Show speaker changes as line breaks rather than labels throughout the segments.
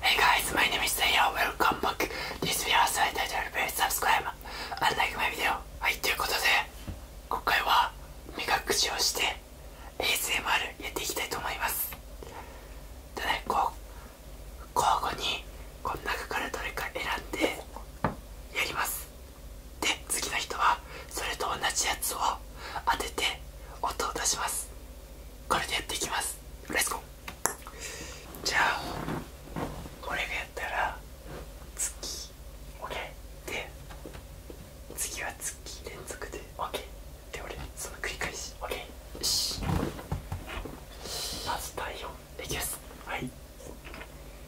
Hey guys, my name is Taylor. Welcome back. This video is titled Please subscribe and like my video. はい、ということで、今回は目隠しをして ASMR やっていきたいと思います。でね、こう、交互にこの中からどれか選んでやります。で次の人はそれと同じやつを当てて音を出しますこれでやっていきますレッツゴーじゃあ俺がやったら月 OK で次は月連続でオッケーで俺その繰り返し OK よしまず第4できますはい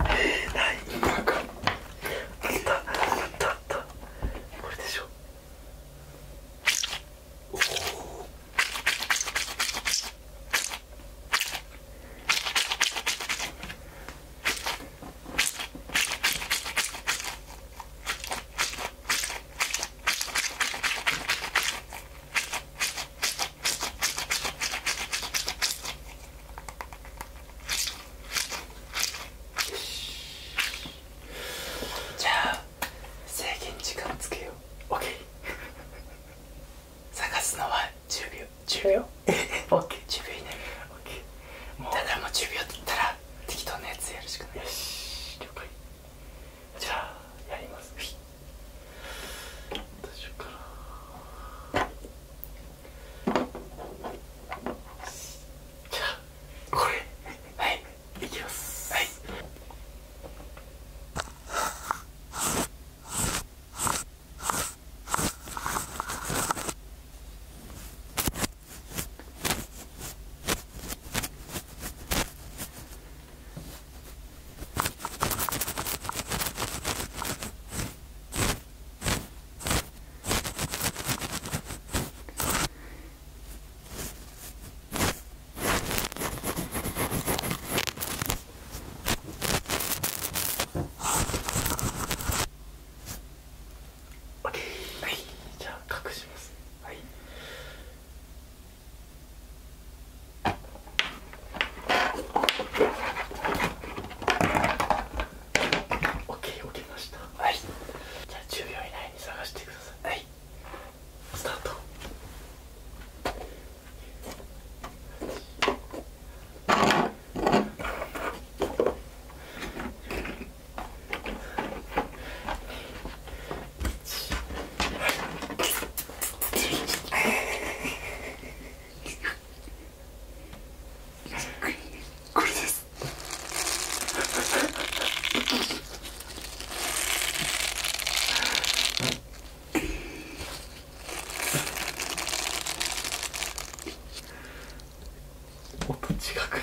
えー、ないなんかあったあったあったこれでしょおおよし。じゃあ制限時間つけよう OK 探すのは10秒10秒 OK10 秒以内 OK もうただもう10秒言ったら適当なやつやるしかないよし了解じゃあやります大丈夫かなはいじゃあ隠しますはい OK 起きましたはいじゃあ10秒以内に探してくださいはいスタート これです音近くね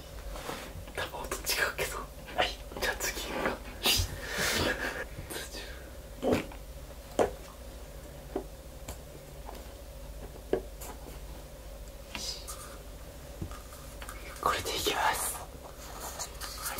多分音違うけどはいじゃあ次はこれでいきますはい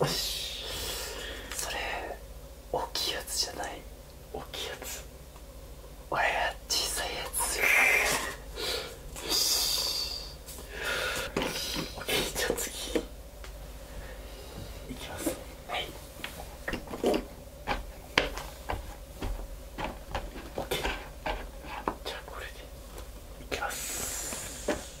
よし。それ大きいやつじゃない大きいやつ俺は小さいやつよし。じゃあ次いきますはいオッじゃあこれでいきます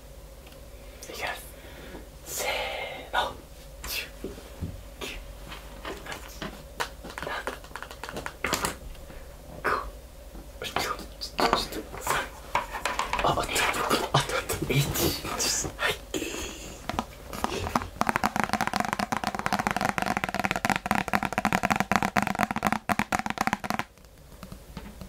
いきますせーのはい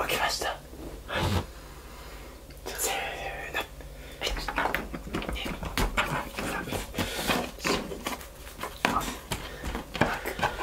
起きましたはいはい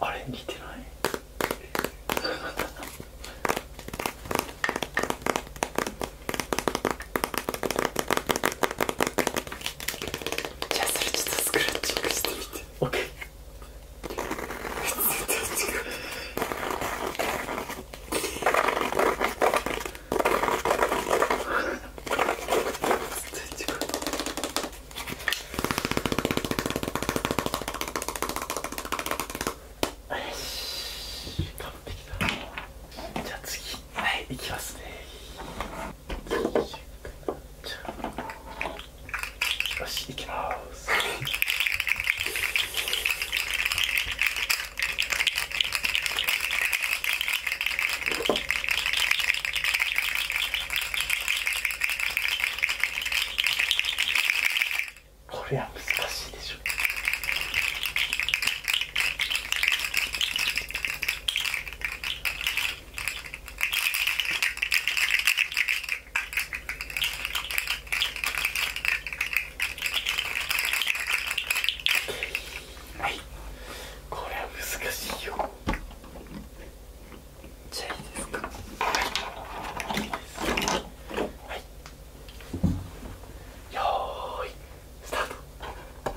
あれ似てない じゃあそれちょっとスクラッチングしてみて OK 完璧だじゃあ次はいいきますねよしいきますこれは難しいでしょはいこれは難しいよじゃあいいですかはいいいですはいよーいスタートは1。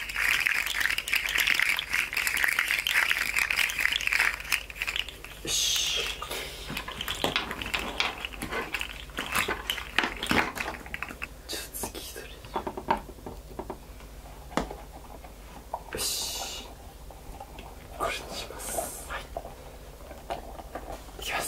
よよし。し。しじゃあ次れこにます。はい、いきます。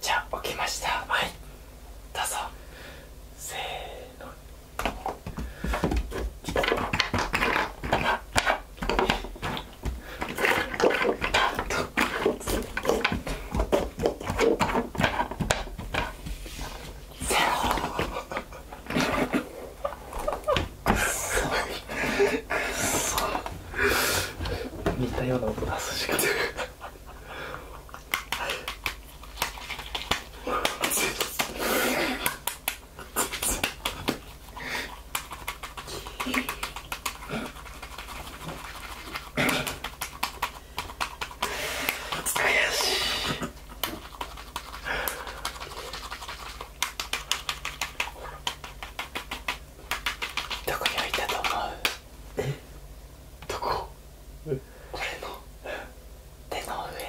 じゃあ起きましたはいどうぞせーの似たような音出すしかないどこに置いたと思うどこ俺の手の上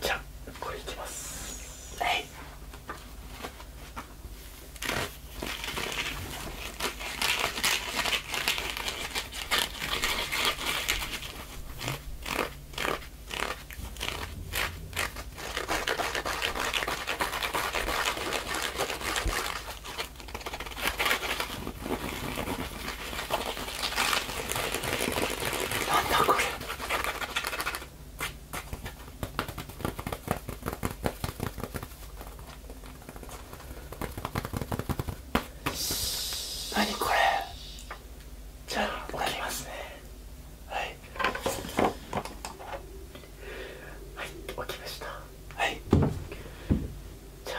じゃあ、これいきますはいなんだこれ何これじゃあ置きますねはいはい置きましたはいじゃあ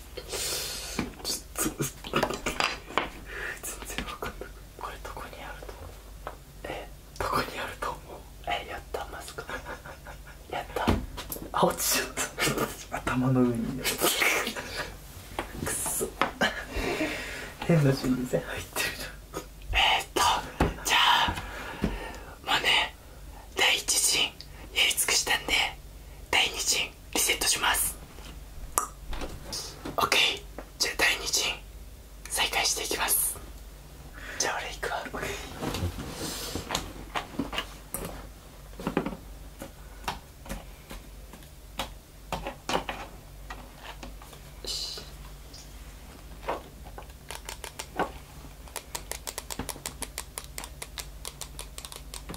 全然分かんないこれどこにあると思うえどこにあると思うえやったマスク やったあ落ちちゃった頭の上にくっそ変な心理戦入ってるじゃんえっとじゃあもうね第一陣やり尽くしたんで第二陣リセットします OK じゃあ第2陣再開していきますじゃあ俺行くわよ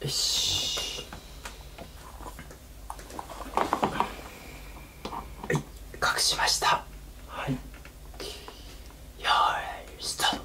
よしはい隠しましたはいよいスタート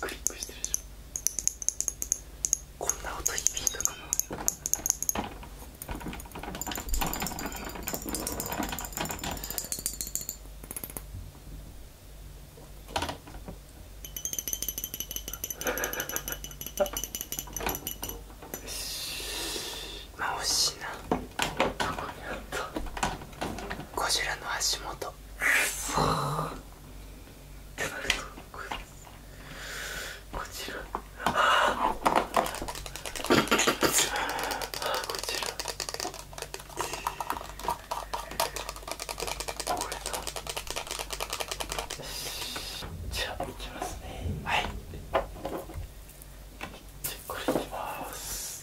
クリックしてるでしょこんな音響いたかなよしまあ惜しなこにあの足元そってなるとここちらああこちらこれじゃあいきますねはいじゃあこれいきます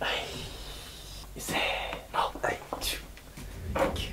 はい、せーの、はい、10、9、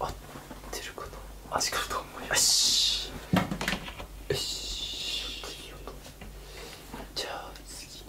合ってると、な味かと思いますよしよよ。し、じゃあ次の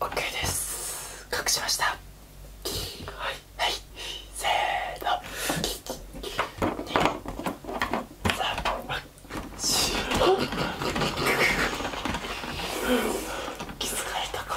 オッケーです隠しましたはいせーの気づかれたか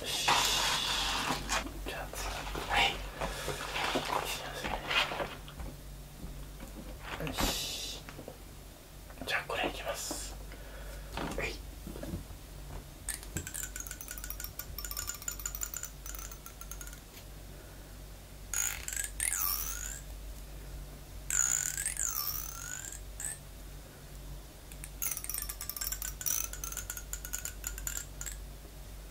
じゃあ次はいよしじゃあこれいきますはい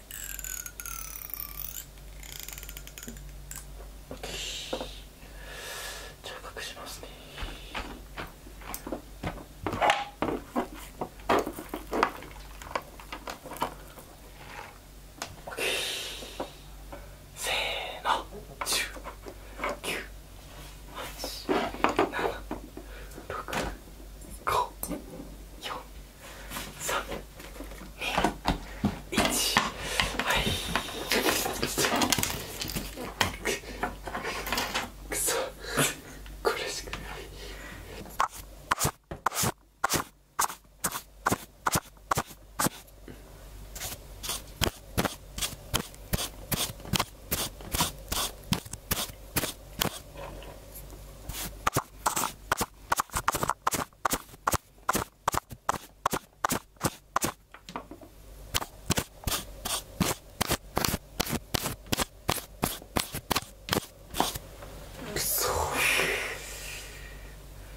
じゃあ隠しますねせーの109876 54321はいクソクソクレシピ。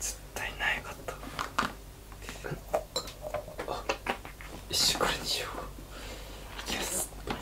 絶対ないかった。あ、一緒これにしよういきます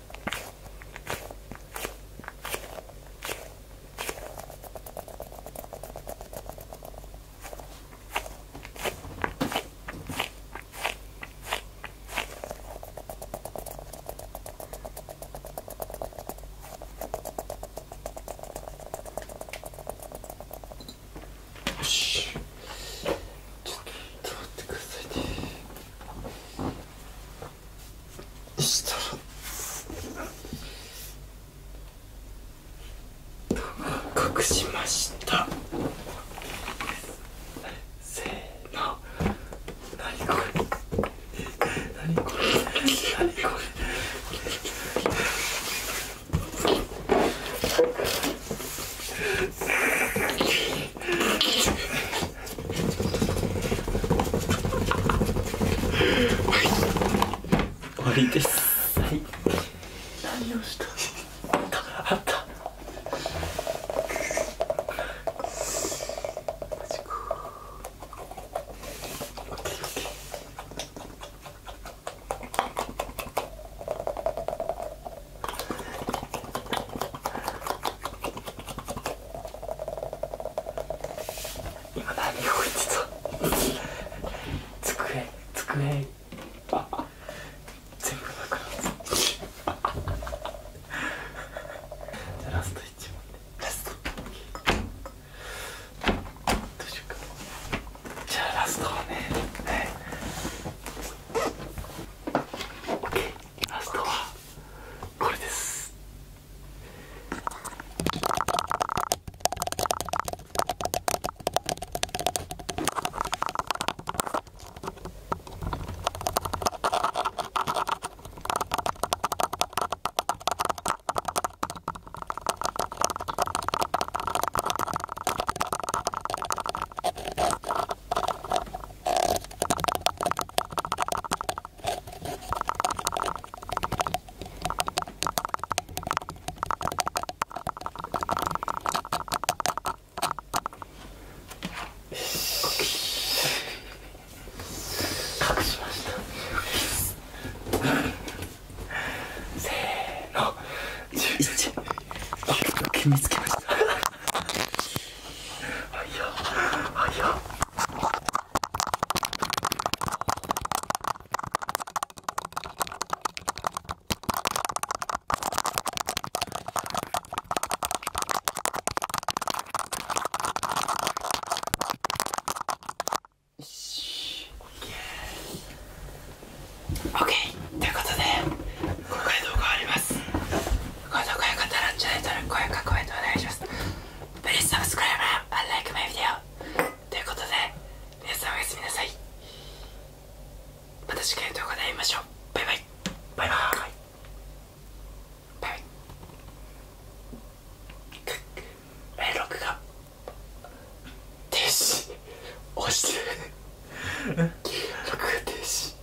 よしちょっと待ってくださいねしたら隠しましたせーの何これ何これ何これ終わはい。今何を置い机机全部なくなったじゃラスト1問でラストどうじゃあラストはね OK ラストはこれです隠しましたせーの11決めつけましたいよはいよよしオッケーオッケーということで今回動画終わります今度声が足らんじゃないと声かント、お願いします Please subscribe and like my video ということで皆さんおやすみなさいまた次回の動画で会いましょうバイバイバイバイバイバイ 録画停止押してる録画停止